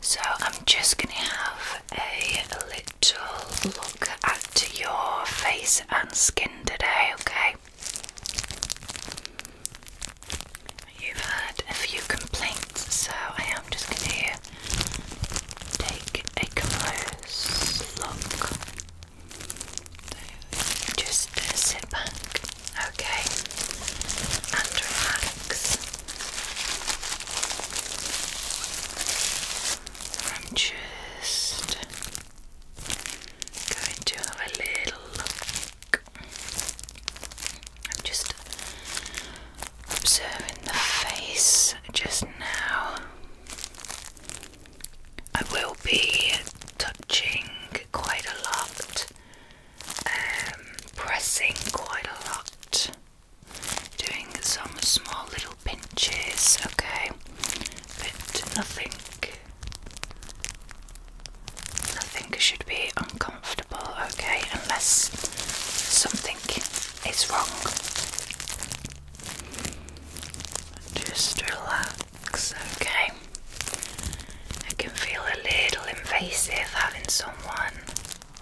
So I'm just going to have a little look at your face and skin today, okay? You've had a few complaints, so I am just going to take a close look. just uh, sit back, Okay, and relax. I'm just going to have a little look. just observing the face just now. I will be touching quite a lot um, pressing quite a lot, doing some small little pinches, okay, but nothing, nothing should be uncomfortable, okay, unless something is wrong. Just relax, okay. It can feel a little invasive having someone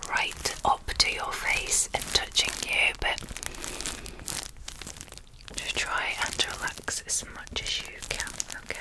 right up to your face and touching you, but just try and relax as much as you can, okay?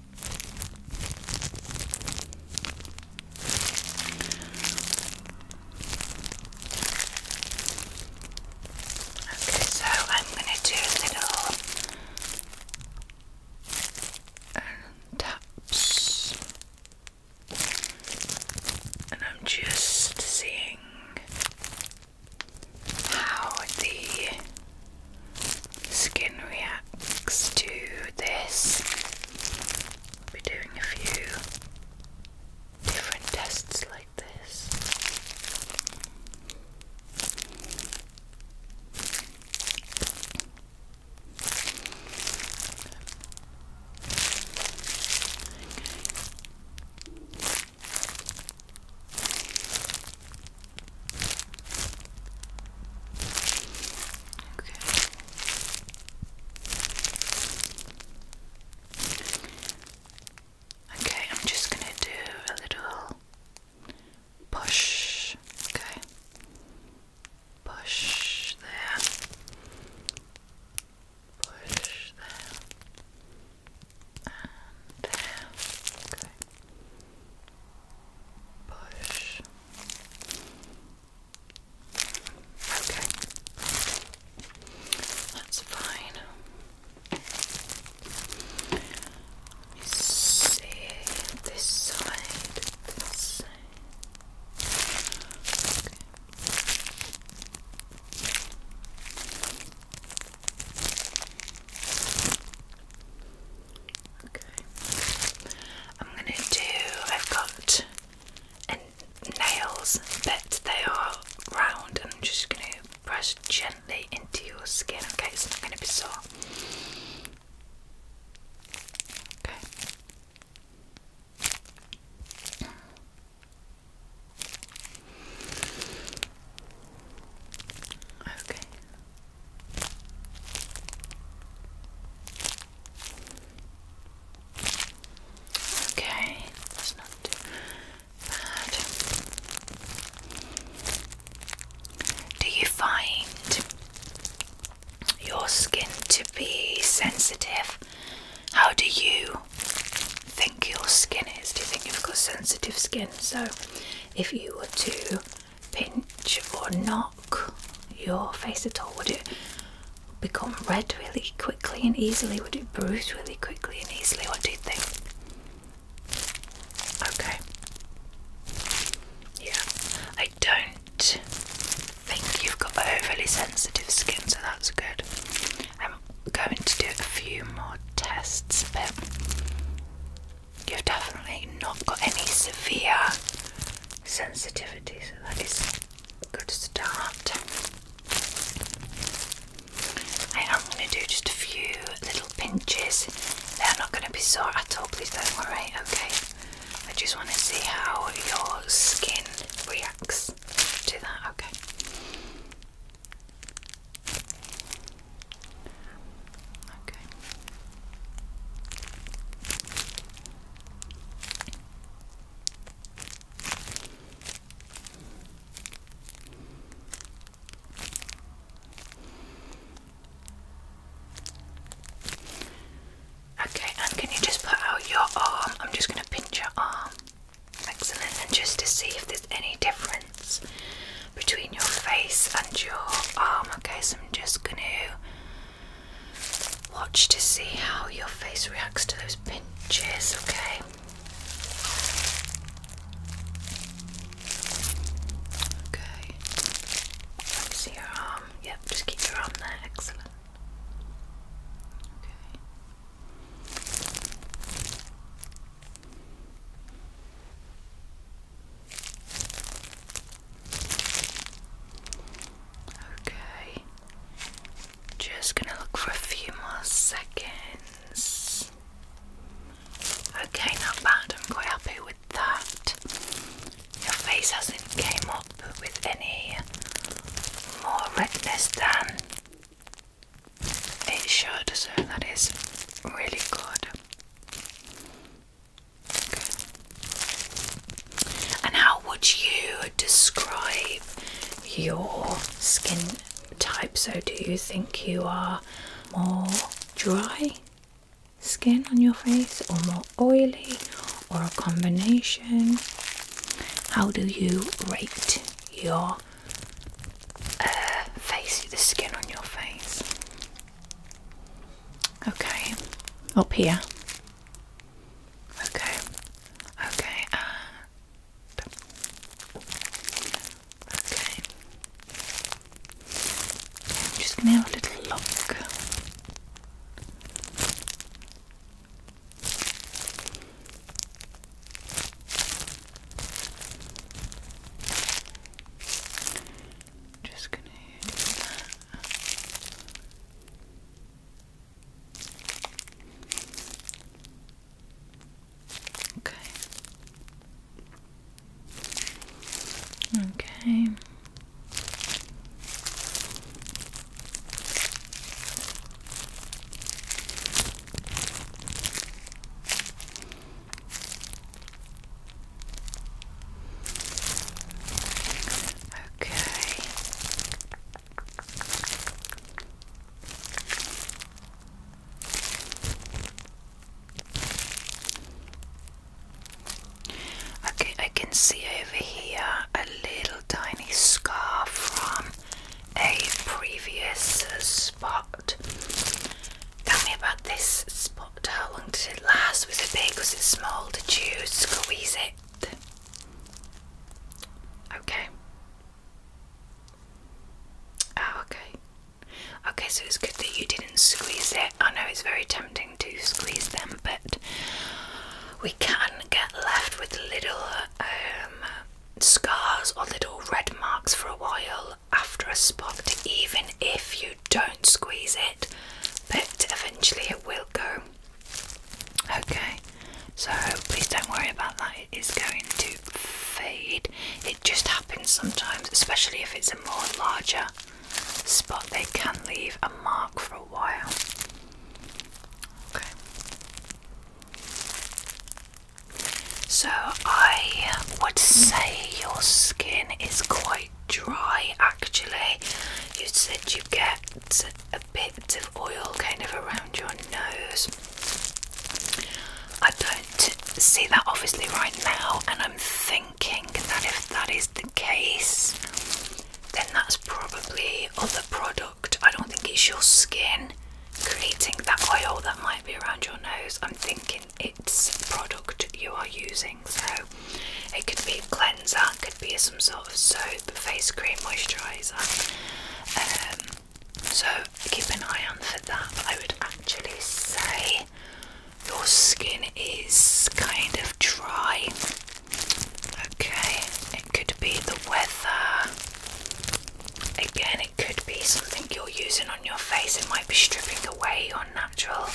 Okay, so I'm going to do a little um, taps, and I'm just seeing how the skin reacts to this. We'll be doing a few different tests like this. Okay. Okay. Okay, I'm just gonna do a little push. Okay. Push there. Push there. And there. Okay. Push. Okay. That's fine. Let me see this side. This side. Okay. Okay. I'm gonna do. I've got nails that they are round, and I'm just gonna press gently into your skin. Okay, it's not gonna be sore. Okay. Okay, that's not bad. Do you find your skin to be sensitive? How do you think your skin is? Do you think you've got sensitive skin? So, if you were to pinch or knock your face at all? Would it become red really quickly and easily? Would it bruise really quickly and easily? What do you think? Okay. Yeah, I don't think you've got overly sensitive skin, so that's good. I'm going to do a few more tests, but You've definitely not got any severe sensitivity, so that is a good start. I am going to do just a few little pinches. They're not going to be sore at all, please don't worry, okay? I just want to see how your skin reacts to that, okay? Okay. Okay, and can you just put out your arm? I'm just going to pinch your arm. Excellent, and just to see if there's any difference between your face and your arm. Okay, so I'm just going to watch to see how your face reacts to those pinches. Okay. Okay. see your arm. Yep, just keep your arm there. Excellent. Okay. Okay, just gonna look for a few more seconds. Okay, not bad, I'm quite happy with that. Your face hasn't came up with any more redness than it should, so that is really good. And how would you describe your skin type? So, do you think you are more dry skin on your face, or more oily, or a combination? How do you rate your uh, face, the skin on your face. Okay, up here. Okay, okay, uh, okay. I'm just gonna have a little look. Just gonna do that. Okay. Okay. Okay. Okay, I can see over here a little tiny scar from a previous spot. Tell me about this spot. How long did it last? Was it big? Was it small? Did you squeeze it? Okay. Oh, okay. Okay, so it's good that you didn't squeeze it. I know it's very tempting to squeeze them, but we can get left with little um, scars or little red marks for a while after a spot, even if you don't squeeze it, but eventually it will go. Okay, so please don't worry about that, it is going to fade. It just happens sometimes, especially if it's a more larger spot, they can leave a mark for a while. Okay. So I would say your skin is quite dry actually. You said you get a bit of oil kind of around your nose. I don't see that obviously right now, and I'm thinking that if that is the case, then that's probably other product. I don't think it's your skin creating that oil that might be around your nose. I'm thinking it's product you are using, so it could be a cleanser, it could be some sort of soap, face cream, moisturiser. Um, so keep an eye on for that. I would actually say your skin is kind of dry. Okay, it could be the weather. Again, it could be something you're using on your face. It might be stripping away your natural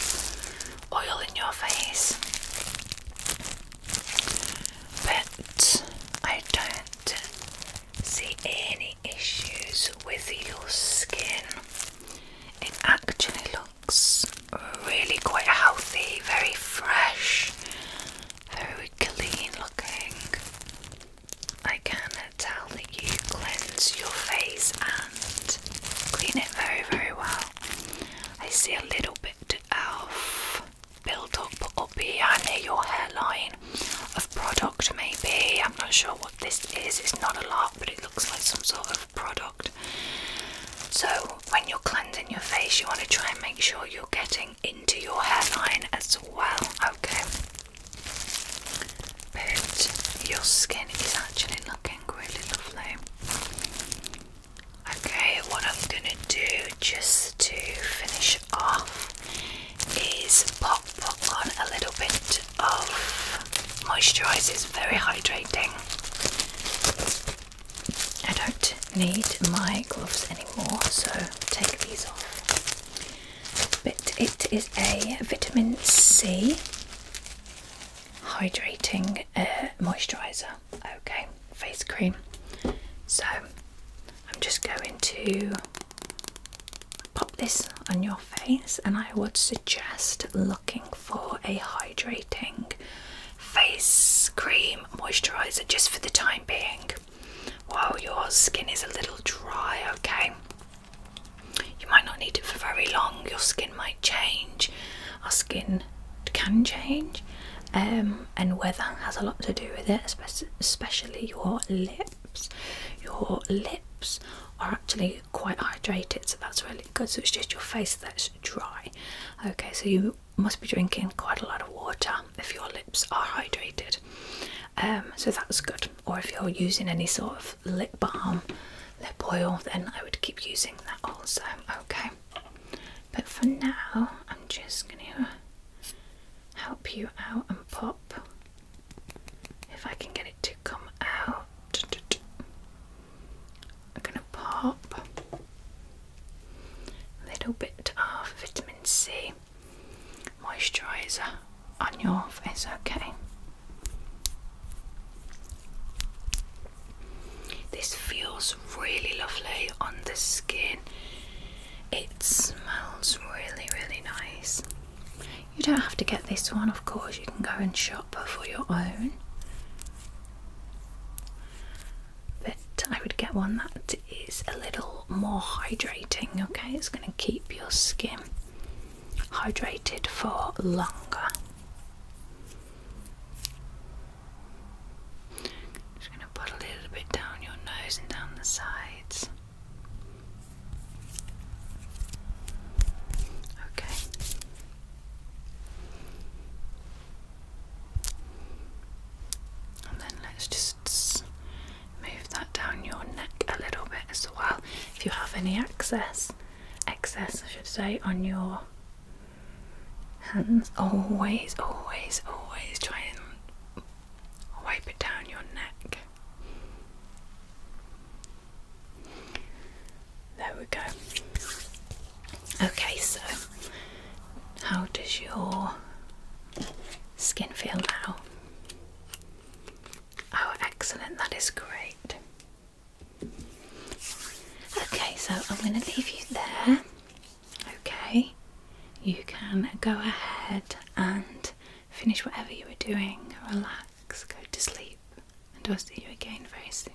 oil in your face. But I don't see any issues with your skin. It actually looks really quite healthy, very fresh very clean looking. I can tell that you cleanse your face and clean it very, very well. I see a little bit of build up up behind your hairline of product, maybe. I'm not sure what this is, it's not a lot, but it looks like some sort of product. So, when you're cleansing your face, you want to try and make sure you're getting into your hairline as well. Okay, but your skin is actually looking really lovely. Okay, what I'm gonna do just to finish off is pop on a little bit of moisturiser, it's very hydrating. I don't need my gloves anymore, so take these off. But it is a vitamin C hydrating uh, moisturizer, okay, face cream. So I'm just going to pop this on your face, and I would suggest looking for a hydrating face cream moisturizer just for the time being week your skin is a little dry, okay? You might not need it for very long, your skin might change. Our skin can change, um, and weather has a lot to do with it, especially your lips. Your lips are actually quite hydrated, so that's really good. So it's just your face that's dry, okay? So you must be drinking quite a lot of water if your lips are hydrated. Um, so that's good. Or if you're using any sort of lip balm, lip oil, then I would keep using that also. Okay. But for now, I'm just going to help you out and pop. If I can get it to come out, I'm going pop a little bit of vitamin C moisturiser on your face, okay? This feels really lovely on the skin. It smells really, really nice. You don't have to get this one, of course, you can go and shop for your own. But I would get one that is a little more hydrating, okay? It's going to keep your skin hydrated for longer. Just going to put a little bit down your nose and down the sides. Okay. And then let's just move that down your neck a little bit as well. If you have any excess, excess I should say, on your hands, always, always, always try and wipe it down your neck. There we go. Okay, so how does your skin feel now? Oh, excellent, that is great. Okay, so I'm going to leave you there. Okay, you can go ahead and finish whatever you were doing, relax, go to sleep, and I'll see you again very soon.